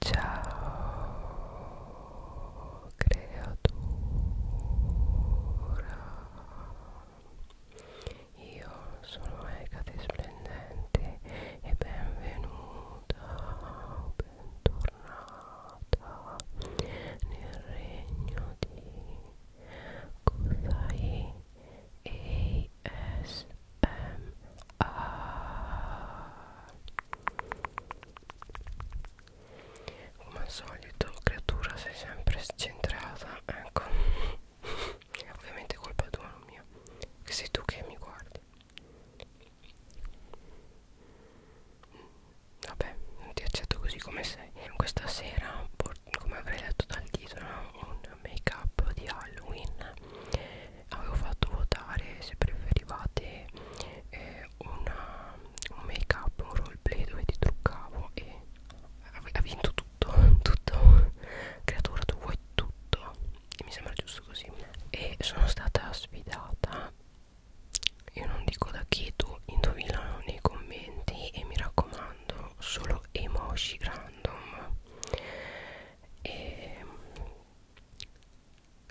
Ciao creatura Io sono Egate Splendente e benvenuta, bentornata nel regno di Kusai Ah. come al solito creatura sei sempre scentrata ecco ovviamente colpa tua non mia che sei tu che mi guardi vabbè non ti accetto così come sei questa sera come avrei letto dal titolo un make up di Halloween avevo fatto votare se preferivate eh, una, un make up, un roleplay dove ti truccavo e ha vinto tutto, tutto creatura tu vuoi tutto e mi sembra giusto così e sono stata sfidata io non dico da chi tu indovina nei commenti e mi raccomando solo emoji random e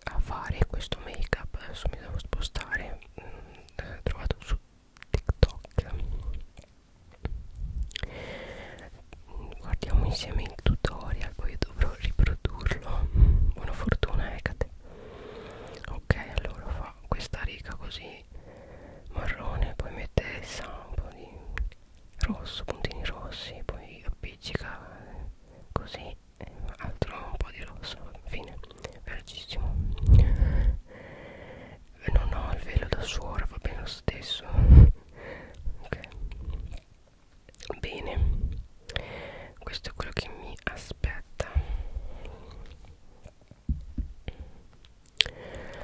a fare questo make up adesso mi devo spostare l'ho mm, trovato su tiktok guardiamo insieme il tutorial poi dovrò riprodurlo buona fortuna Ecate eh, ok allora fa questa riga così marrone poi mette il sample di rosso puntini rossi poi appiccica eh, così eh, altro un po' di rosso fine velocissimo non ho il velo da suora va bene lo stesso ok bene questo è quello che mi aspetta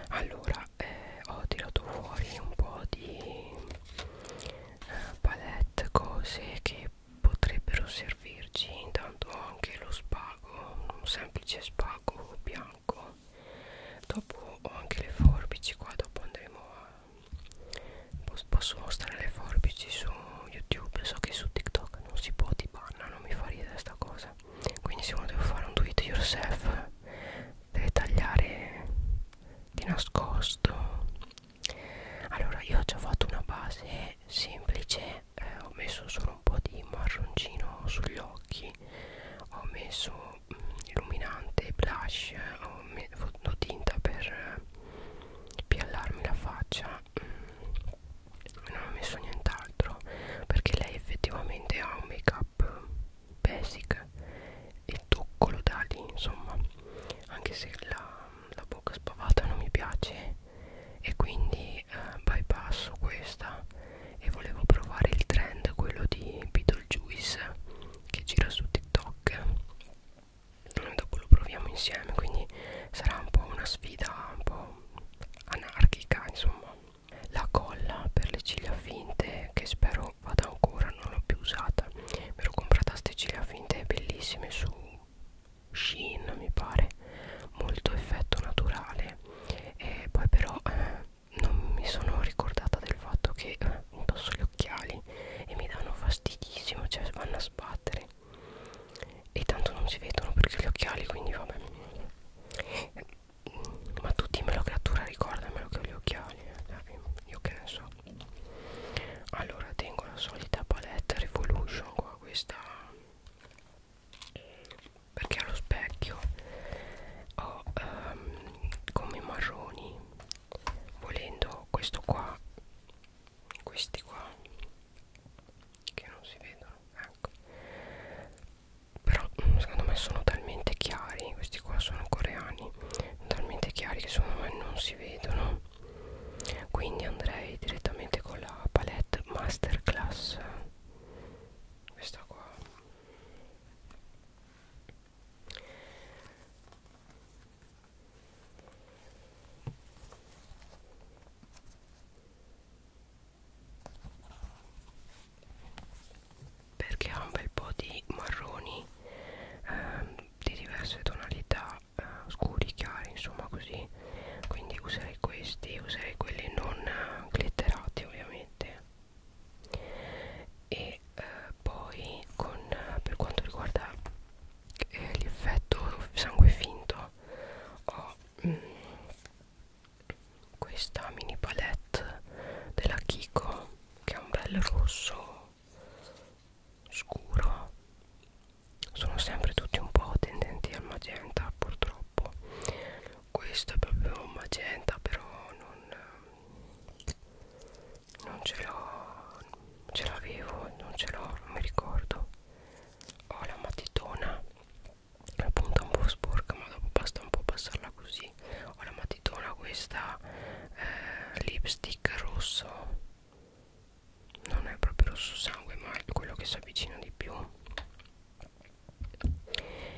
allora eh, ho tirato fuori un po' di eh, palette set cose che potrebbero servirci intanto anche lo spago un semplice spago bianco dopo ho anche le forbici qua dopo andremo a posso mostrare le forbici su youtube so che su tiktok non si può ti banna non mi fa ridere sta cosa quindi se uno deve fare un do it yourself deve tagliare di nascosto allora io ho già fatto una base semplice eh, ho messo solo un po' di marroncino sugli occhi ho messo mm, illuminante blush ho messo tinta per eh, piallarmi la faccia mm, non ho messo nient'altro perché lei effettivamente ha un make up basic e tocco lo da lì insomma anche se la la bocca spavata non mi piace e quindi eh, bypasso questa e volevo provare il trend quello di Beetlejuice che gira su TikTok e dopo lo proviamo insieme quindi sarà un po' una sfida un po' anarchica insomma la colla per le ciglia finte che spero vada ancora non l'ho più usata me l'ho comprata a ste ciglia finte bellissime su Shein mi pare molto effetto naturale e poi però eh, non mi sono ricordata del fatto che eh, indosso gli occhiali e mi danno fastidissimo cioè vanno a sbattere e tanto non si vedono perché gli occhiali quindi vabbè ma tutti me lo cattura ricordamelo che ho gli occhiali eh, io che ne so allora tengo la solita palette revolution qua questa perché allo specchio ho um, come marroni volendo questo qua questi qua che non si vedono ecco però mm, secondo me sono talmente chiari questi qua sono coreani talmente chiari che secondo me non si vedono quindi andrei direttamente con la palette masterclass questa qua perché ha un bel po' di marroni ehm, di diverse tonalità eh, scuri chiari insomma così quindi userei questi userei quelli non eh, glitterati ovviamente e eh, poi con eh, per quanto riguarda eh, l'effetto sangue finto ho mm, questa mini palette della Kiko che è un bel rosso scuro sono sempre tutti un po' tendenti al magenta purtroppo questo è proprio un magenta però non, non ce l'ho ce l'avevo non ce l'ho non mi ricordo ho la matitona la punta un po' sporca ma dopo basta un po' passarla così ho la matitona questa eh, lipstick rosso non è proprio rosso sangue ma è quello che si avvicina di più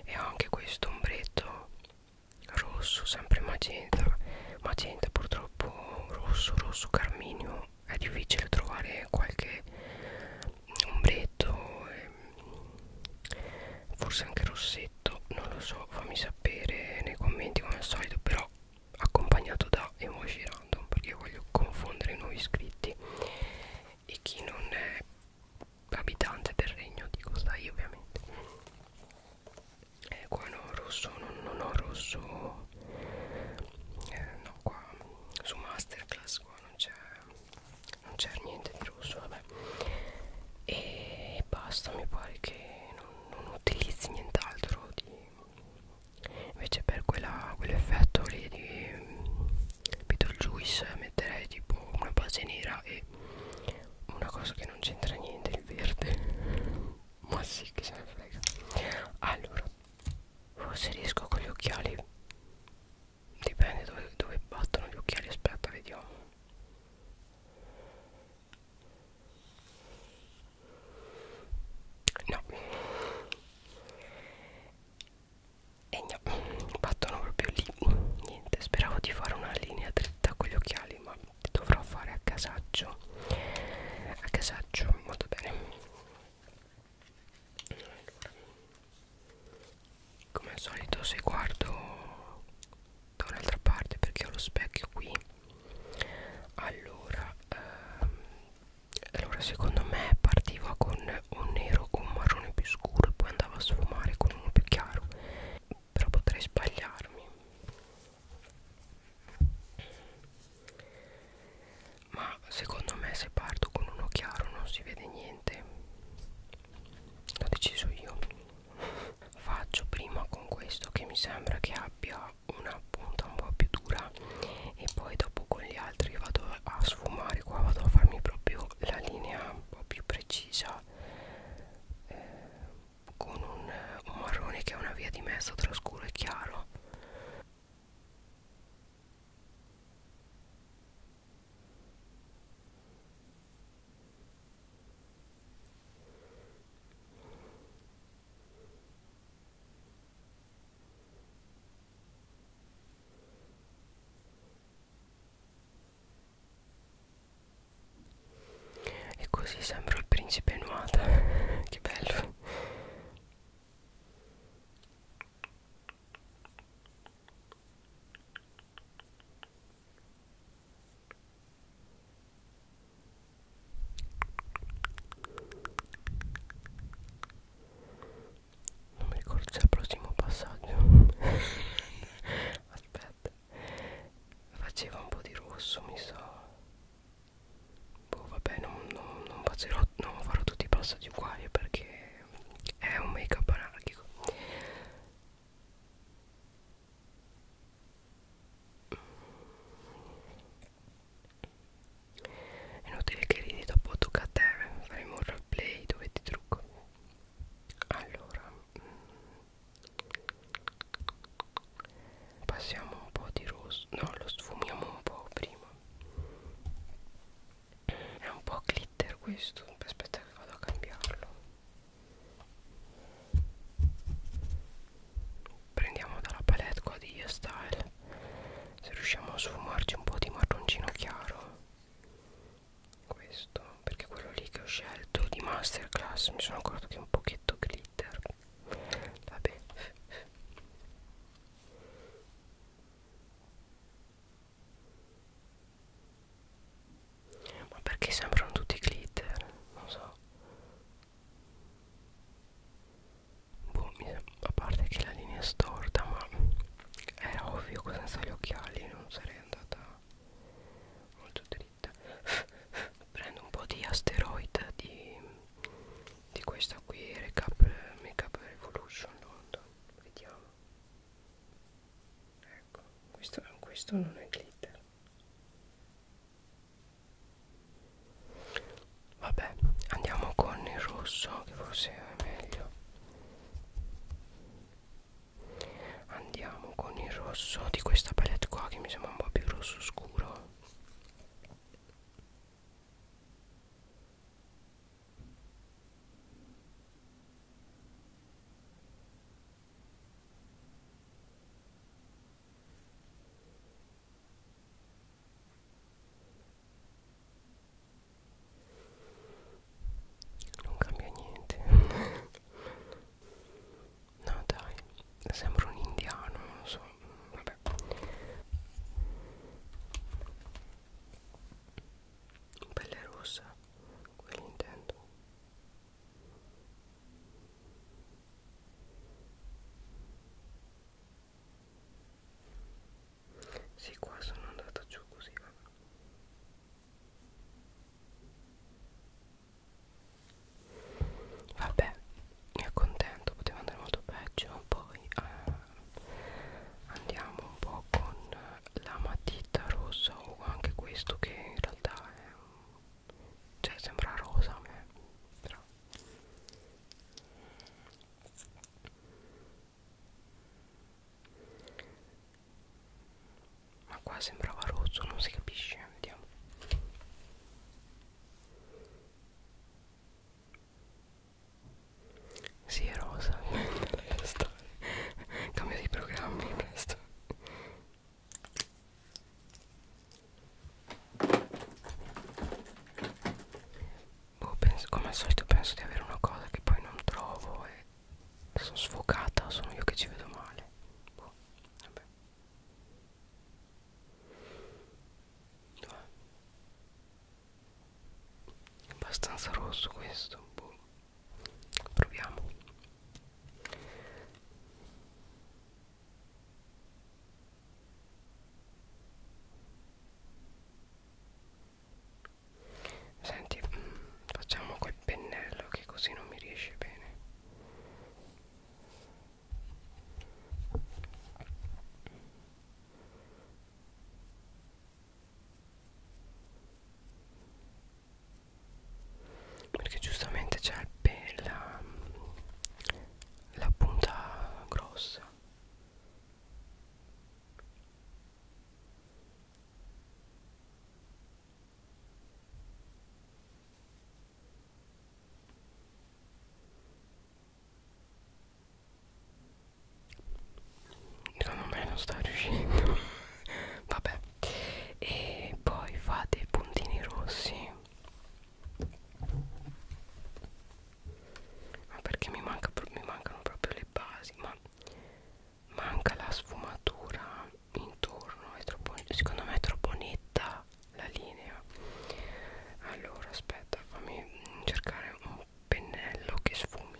e ho anche questo ombretto rosso sempre magenta magenta purtroppo rosso rosso carminio è difficile trovare qualche ombretto ehm, forse anche rossetto non lo so fammi sapere nei commenti come al solito però accompagnato da emoji random perché voglio confondere i nuovi iscritti e chi non è abitante del regno di Costai ovviamente eh, qua non ho rosso non, non ho rosso eh, no qua su masterclass qua non c'è non c'è niente di rosso vabbè e basta mi pare che non, non utilizzi nient'altro di invece per quell'effetto quell lì di Beetlejuice mm, metterei tipo una base nera e una cosa che non c'entra niente il verde ma sì che se ne frega allora forse riesco con gli occhiali dipende dove, dove battono gli occhiali aspetta vediamo no e no battono proprio lì niente speravo di fare una linea dritta con gli occhiali ma dovrò fare a casaccio a casaccio molto bene come al solito se guardo da un'altra parte perché ho lo specchio qui allora ehm, allora secondo me partiva con un nero o un marrone più scuro e poi andava a sfumare con uno più chiaro però potrei sbagliarmi ma secondo me se parto con uno chiaro non si vede niente l'ho deciso io faccio prima con questo che mi sembra che abbia una punta un po' più dura e poi dopo con gli altri vado a sfumare qua vado a farmi proprio la linea un po' più precisa eh, con un, un marrone che è una via di mezzo tra scuro e chiaro e così sembro il principe nuata. che bello non mi ricordo se è il prossimo passaggio aspetta faceva un po' di rosso mi sa boh vabbè non, non, non, faccerò, non farò tutti i passaggi uguali perché è un make up anarchico è inutile che ridi dopo tocca a te Faremo un roleplay dove ti trucco Allora mm, Passiamo un po' di rosso No lo sfumiamo un po' prima È un po' glitter questo Aspetta che vado a cambiarlo prendiamo dalla palette qua di Style se riusciamo a sfumarci un po' di marroncino chiaro questo perché quello lì che ho scelto di masterclass mi sono accorto che è un pochetto glitter vabbè ma perché sembrano tutti glitter non so boh, a parte che la linea è storta ma era ovvio che senza gli occhiali non sarei andata molto dritta prendo un po' di asteroid di, di questa qui recap makeup revolution London vediamo ecco questo, questo non è glitter Vabbè, andiamo con il rosso che forse è meglio. Andiamo con il rosso di questa palette qua che mi sembra un po' più rosso scuro non cambia niente no dai sembra un indiano non so vabbè pelle rossa quello intendo sì, qua sono andata giù così, vabbè. Vabbè, mi accontento, poteva andare molto peggio. Poi eh, andiamo un po' con la matita rossa o anche questo che in realtà è un... cioè sembra rosa, ma però ma qua sembrava rosso non si capisce vediamo si sì, è rosa cambia di programmi presto boh, penso, come al solito penso di avere una cosa che poi non trovo e sono sfocata, sono io che ci vedo male. Boh, vabbè. È abbastanza rosso questo, boh. Proviamo. Senti, mm, facciamo quel pennello che così non mi riesce bene. Perché giustamente c'è il la, la punta grossa Secondo me non sta riuscendo Vabbè E poi fate i puntini rossi ma perché mi, manca, mi mancano proprio le basi ma manca la sfumatura intorno è troppo, secondo me è troppo netta la linea allora aspetta fammi cercare un pennello che sfumi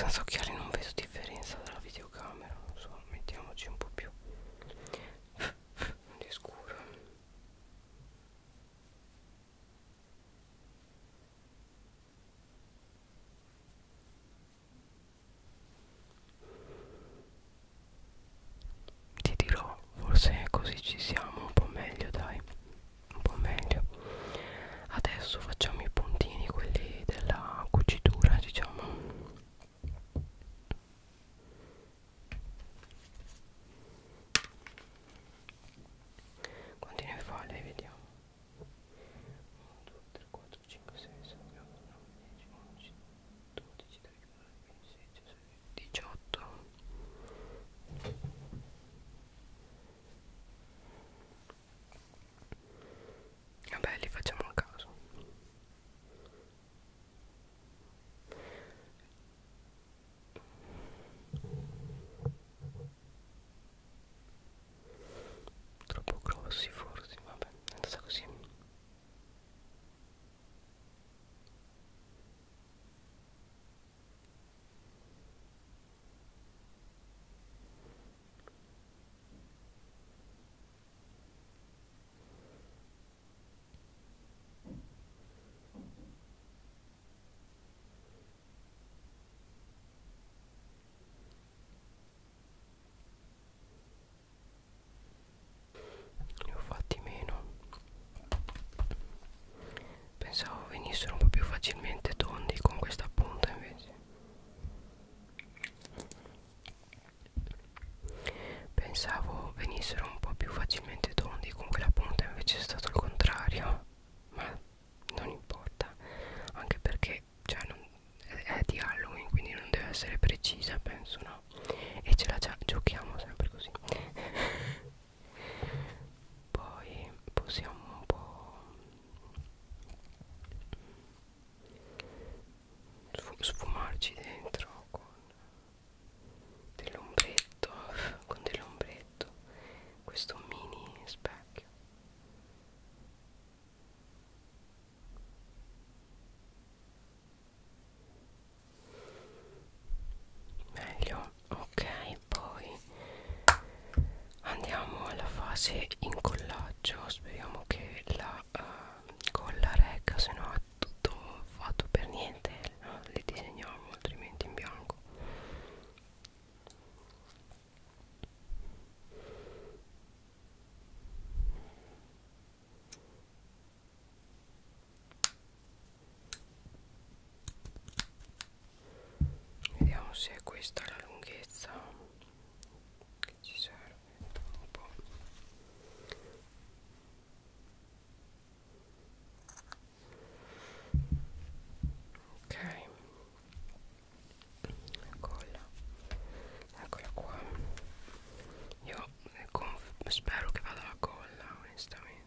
senza occhiali non vedo differenza dalla videocamera non so mettiamoci un po' più di scuro ti dirò forse così ci siamo un po' meglio dai un po' meglio adesso facciamo i puntini quelli della cucitura diciamo quanti ne fa lei vediamo 1 2 3 4 5 6 7 8 9 10 11 12 13 18 vabbè li facciamo a caso troppo grossi forse vabbè è andata così ne ho fatti meno Pensavo venissero un po' più facilmente tondi con questa punta invece Pensavo venissero un po' più facilmente tondi con quella punta invece è stato il contrario Ma non importa Anche perché cioè, non, è, è di Halloween quindi non deve essere precisa penso no E ce la già giochiamo sempre così poi possiamo un po' sfumarci dentro con dell'ombretto con dell'ombretto questo mini specchio meglio ok poi andiamo alla fase incollaggio speriamo che la uh, eh, colla regga se no è tutto fatto per niente no? le disegniamo altrimenti in bianco vediamo se è questa la lunghezza che ci serve un po' ok eccola eccola qua io spero che vada la colla onestamente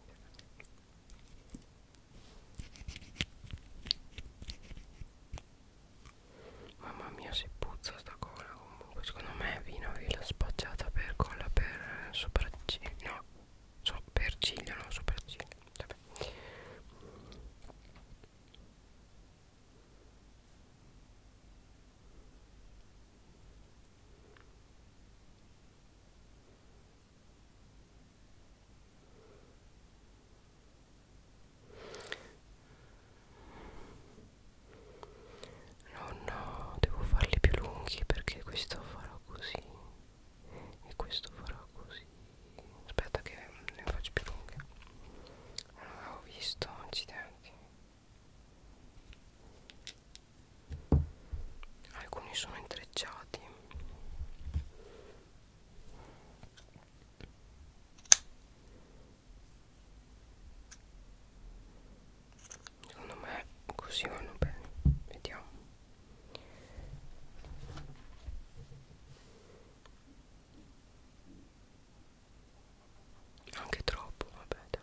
Mamma mia si puzza sta cola comunque Secondo me Vino l'ha spacciata per cola per eh, sopracciglia No, so, per ciglia, non sopracciglia Vabbè No, no, devo farli più lunghi perché questo farò così e questo farò così. Aspetta che ne faccio più lunghe. Non ah, avevo visto, accidenti alcuni sono intrecciati secondo me così vanno bene vediamo anche troppo vabbè dai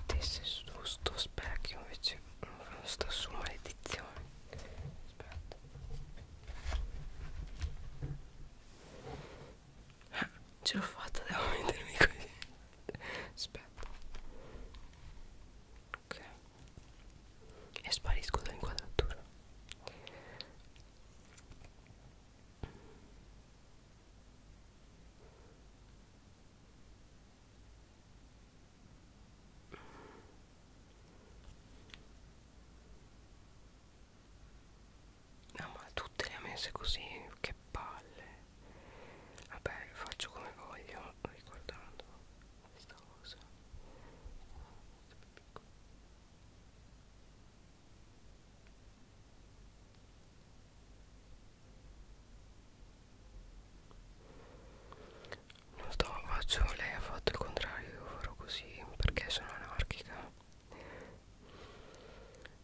stesse su sto specchio invece sta mm, su maledizione aspetta ah, ce l'ho fatta devo mettermi così aspetta ok e sparisco dall'inquadratura No ma tutte le ha messe così, che palle Vabbè faccio come voglio ricordando questa cosa lo sto faccio lei ha fatto il contrario io farò così perché sono anarchica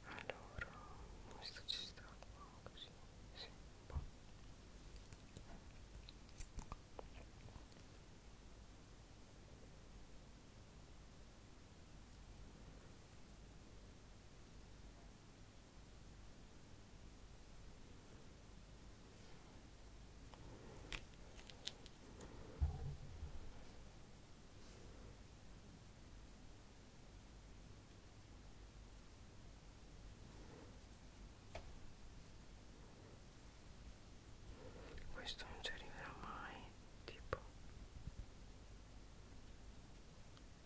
allora questo ci sta qua così sì, un boh. Questo non ci arriverà mai, tipo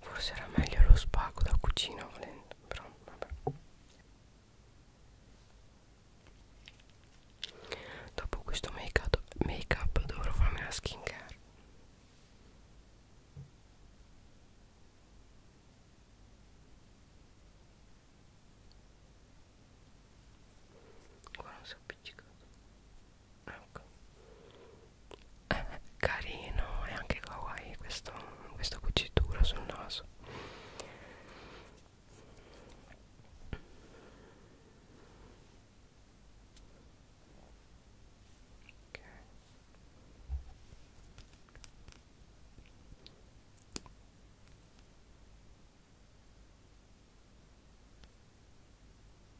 Forse era meglio lo spago da cucina volendo, però vabbè. Dopo questo make up, make up dovrò farmi la skincare. Qua non si è appiccicato ecco è carino e anche kawaii questo, questa cucitura sul naso okay.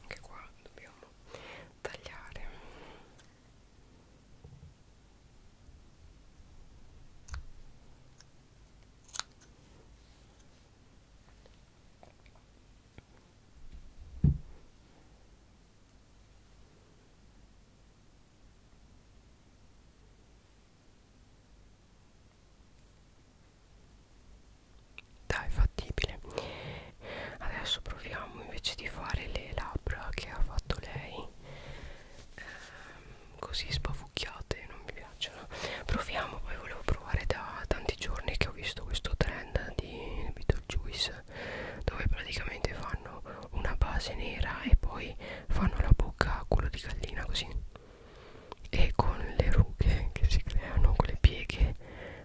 anche qua dobbiamo tagliare ok dai fattibile adesso proviamo invece di fare le labbra che ha fatto lei ehm, così spavucchiate non mi piacciono proviamo poi volevo provare da tanti giorni che ho visto questo trend di Beetlejuice dove praticamente fanno una base nera e poi fanno la bocca a culo di gallina così e con le rughe che si creano con le pieghe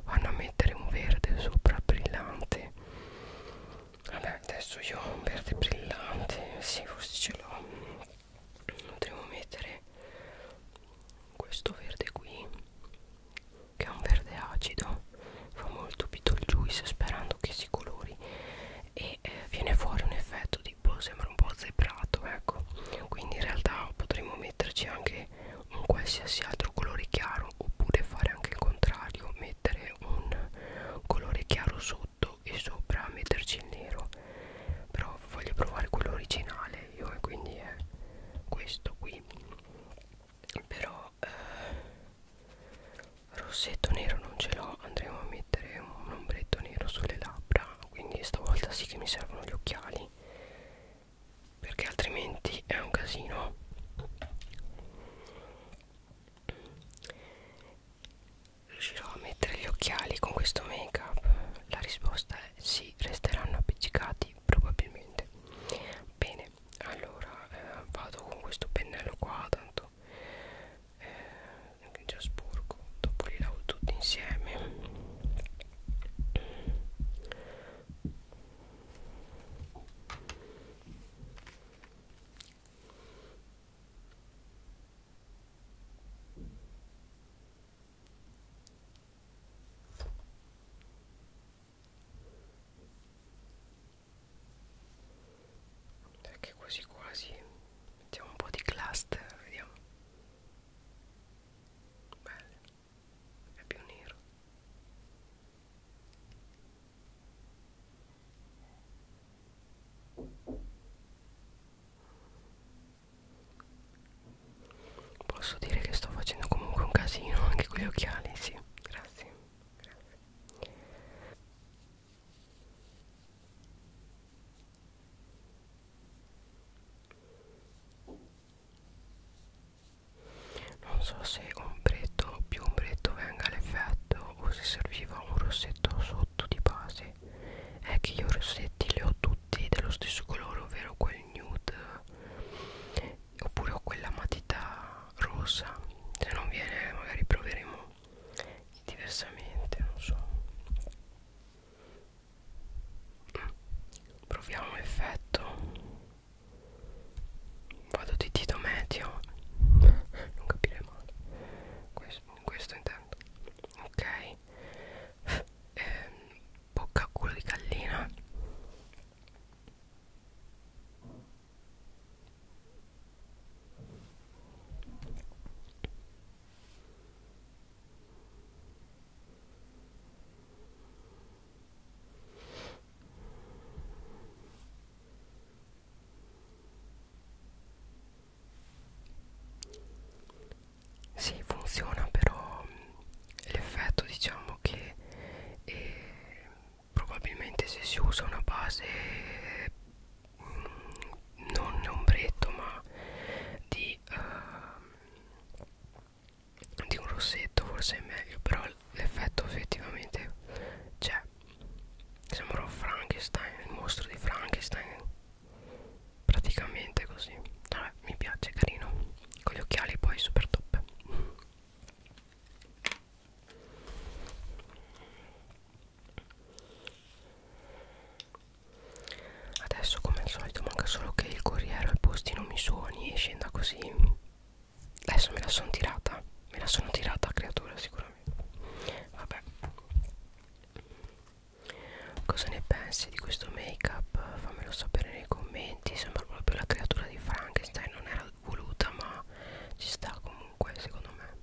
vanno a mettere un verde sopra brillante vabbè adesso io ho un verde brillante sì forse ce l'ho potremmo mettere questo verde qui che è un verde acido fa molto beetlejuice sperando che si colori e eh, viene fuori un effetto tipo boh, sembra un po' zebrato ecco quindi in realtà potremmo metterci anche un qualsiasi altro colore chiaro oppure fare anche il contrario mettere un colore chiaro sotto e sopra metterci il nero però voglio provare quello originale io e quindi è questo qui però eh, rossetto nero non ce l'ho andremo a mettere un ombretto nero sulle labbra quindi stavolta sì che mi servono gli occhiali perché altrimenti è un casino riuscirò a mettere gli occhiali con questo make up la risposta è sì resteranno appiccicati probabilmente bene allora eh, vado con questo pennello qua tanto eh, anche già sporco dopo li lavo tutti insieme perché quasi quasi mettiamo un po' di cluster vediamo bello è più nero Posso dire che sto facendo comunque un casino anche con gli occhiali, sì, grazie, grazie. Non so se ombretto più ombretto venga l'effetto o se serviva un rossetto sotto di base. È che io i rossetti li ho tutti dello stesso colore, ovvero quel nude oppure ho quella matita rossa. Se non viene magari proveremo diversamente non so proviamo l'effetto vado di dito medio non capire male questo, questo intendo ok ehm, bocca a culo di gallina sì, funziona però mm, l'effetto diciamo che eh, probabilmente se si usa una base mh, non ombretto ma di, uh, di un rossetto forse è meglio però l'effetto effettivamente c'è sembrò Frankenstein il mostro di Frankenstein praticamente così ah, mi piace carino con gli occhiali poi super top Adesso come al solito manca solo che il corriere al postino mi suoni e scenda così Adesso me la sono tirata Me la sono tirata creatura sicuramente Vabbè Cosa ne pensi di questo make up? Fammelo sapere nei commenti Sembra proprio la creatura di Frankenstein Non era voluta ma ci sta comunque secondo me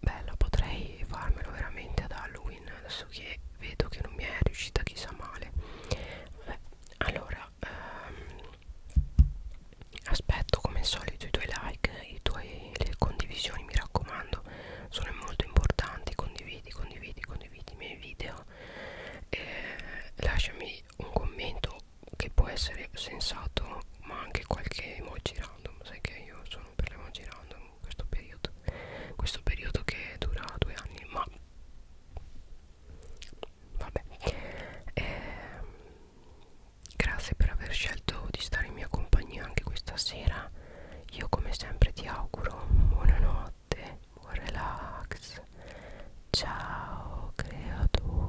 bella potrei farmelo veramente ad Halloween adesso che vedo che non mi è riuscita chissà male Vabbè, allora ehm, aspetto come al solito i tuoi like i tuoi, le condivisioni mi raccomando sono molto importanti condividi condividi condividi i miei video eh, lasciami un commento che può essere sensato ma anche qualche emoji random sai che io sono per le magie random in questo periodo questo periodo che dura due anni ma vabbè eh, grazie per aver scelto di stare in mia compagnia anche questa sera io come sempre ti auguro buonanotte buon relax ciao creatura